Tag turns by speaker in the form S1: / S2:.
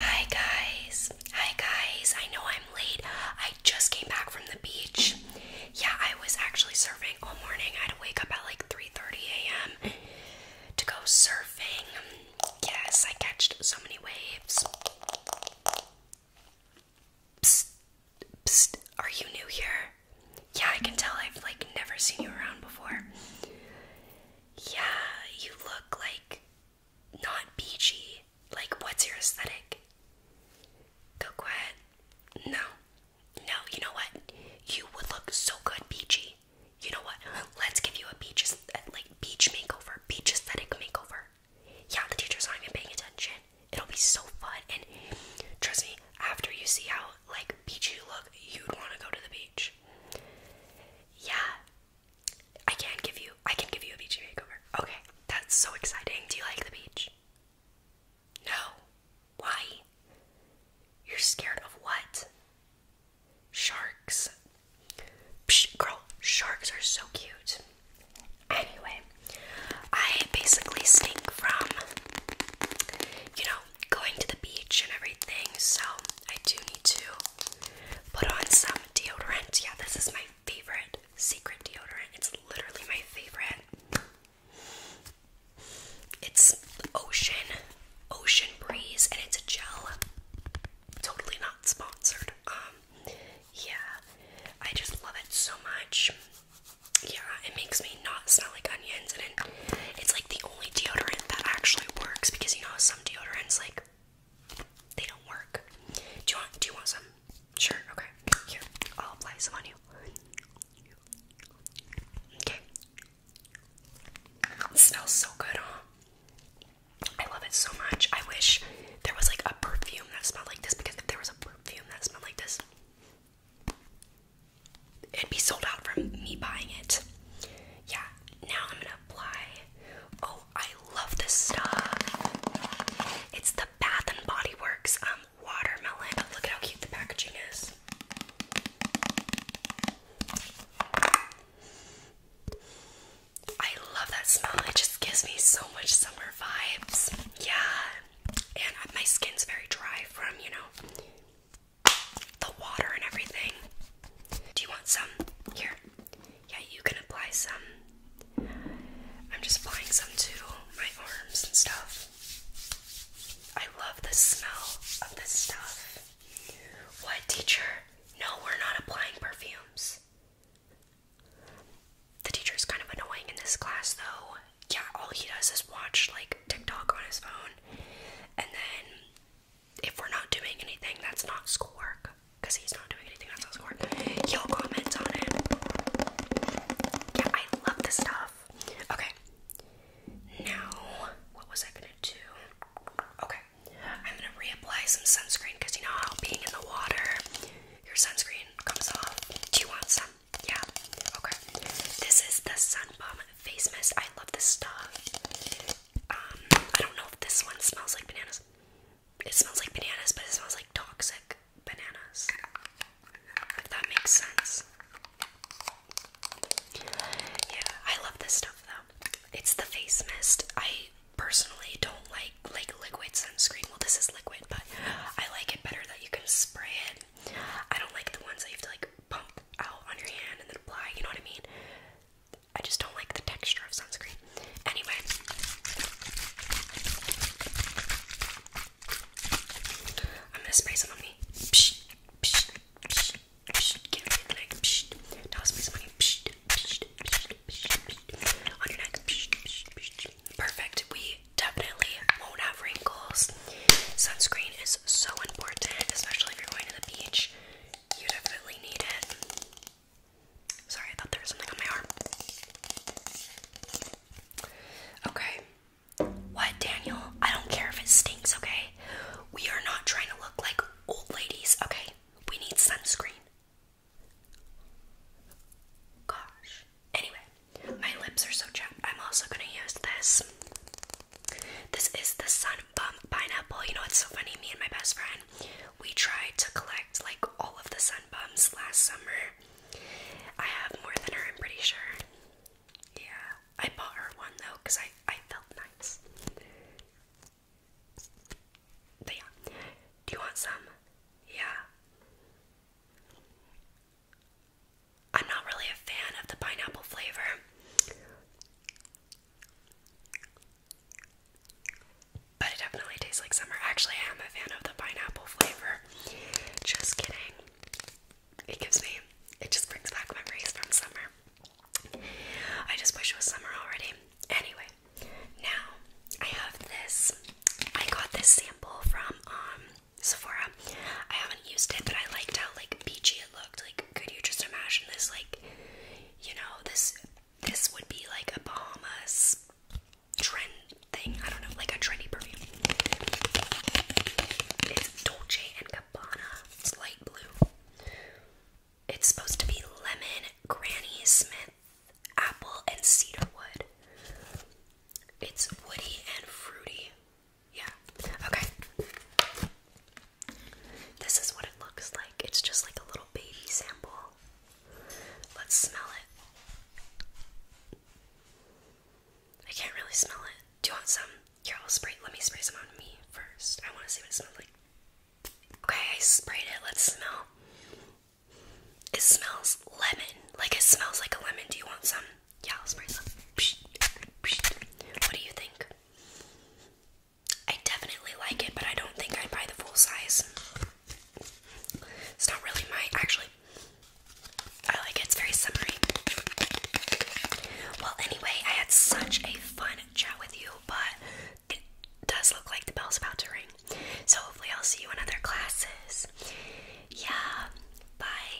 S1: Hi guys. Hi guys. I know I'm late. I just came back from the beach. Yeah, I was actually surfing all morning. I had to wake up at like 3:30 a.m. to go surfing. Yes, I catched so many waves. are you new here? Yeah, I can tell I've like never seen you around before. Yeah, you look like not beachy. Like, what's your aesthetic? Go ahead. No. No, you know what? You would look so good beachy. You know what? Let's give you a beach like beach makeover, beach aesthetic makeover. Yeah, the teacher's not even paying attention. It'll be so fun and trust me, after you see how like beachy you look, you'd want to go to the beach. Yeah, I can give you I can give you a beachy makeover. Okay, that's so exciting. Do you like the beach? No. Why? You're scared of what? Sharks. girl, sharks are so cute. Anyway, I basically stink from you know, going to the beach and everything, so I do need to Put on some deodorant. Yeah, this is my favorite secret deodorant. It's literally my favorite. It's Ocean, Ocean Breeze, and it's a gel. Totally not sponsored. Um, yeah, I just love it so much. Yeah, it makes me not smell like onions, and it, it's like the only deodorant that actually works because you know some deodorants like they don't work. Do you want? Do you want some? Sure. Okay. Here, I'll apply some on you. Okay. smells so good, huh? I love it so much. I wish there was like a perfume that smelled like this because if there was a perfume that smelled like this, it'd be sold out from me buying it. Yeah, now I'm gonna apply. Oh, I love this stuff. It's the Bath and Body Works um watermelon. Look at how cute the packaging is. I love that smell. It just gives me so much summer vibes. Yeah. And my skin's very dry from, you know, the water and everything. Do you want some? Here. Yeah, you can apply some. I'm just applying some to my arms and stuff. I love the smell of this stuff. What, teacher? No, we're not applying perfumes. The teacher's kind of annoying in this class, though. Yeah, all he does is watch like TikTok on his phone and then if we're not doing anything that's not schoolwork, because he's not doing anything that's not schoolwork, he'll comment on it. Yeah, I love this stuff. Okay. Now, what was I gonna do? Okay. I'm gonna reapply some sunscreen because you know how being in the water, your sunscreen comes off. Do you want some? Yeah. Okay. This is the Sun Bomb Face Mist. I love this stuff. I don't know if this one smells like bananas. It smells like bananas, but it smells like toxic bananas. If that makes sense. Yeah, I love this stuff though. It's the face mist. I personally don't like like liquid sunscreen. Well, this is liquid, but I like it better that you can spray it. I don't like the ones that you have to like like pump out on your hand and then apply, you know what I mean? I just don't like the texture of sunscreen. Anyway. I'm gonna spray some on me. Psh, psh, psh, psh. Get on your neck. Psh. Now I'll spray some on you. Psh, psh, psh, psh, psh. On your neck. Psh, psh, psh. Perfect. We definitely won't have wrinkles. Sunscreen is so important, especially if you're going to the beach. You definitely need it. Sorry, I thought there was something on my arm. Okay. What, Daniel? I don't care if it stinks, okay? We are not trying to look like old ladies, okay? We need sunscreen. Gosh. Anyway, my lips are so chapped. I'm also gonna use this this is the Sun Bum pineapple. You know what's so funny? Me and my best friend, we tried to collect like all of the Sun Bums last summer. I have more than her, I'm pretty sure. Yeah, I bought her one though because I, I felt nice. yeah, do you want some? Yeah. I'm not really a fan of the pineapple flavor. But it definitely tastes like summer. Actually, I am a fan of the pineapple flavor. Just kidding. It gives me, it just brings back memories from summer. I just wish it was summer already. Anyway, now I have this. I got this sample from um Sephora. I haven't used it, but I liked how like peachy it looked. Like, could you just imagine this? Like, you know, this this would be like a Bahamas trend thing. I don't know, like a trendy perfume. It's Dolce and Gabbana. It's light blue. It's supposed to be lemon, Granny Smith, apple, and cedarwood. It's woody and fruity. Yeah. Okay. This is what it looks like. It's just like a little baby sample. Let's smell it. I can't really smell it. Do you want some? You're all sprayed. Let me spray some on me first. I want to see what it smells like. Okay, I sprayed it. Let's smell. It smells lemon. Like it smells like a lemon. Do you want some? Yeah, I'll spray some. What do you think? I definitely like it, but I don't think I'd buy the full size. It's not really my actually. I like it, it's very summery. Well, anyway, I had such a fun chat with you, but it does look like the bell's about to ring. So hopefully I'll see you in other classes. Yeah. Bye.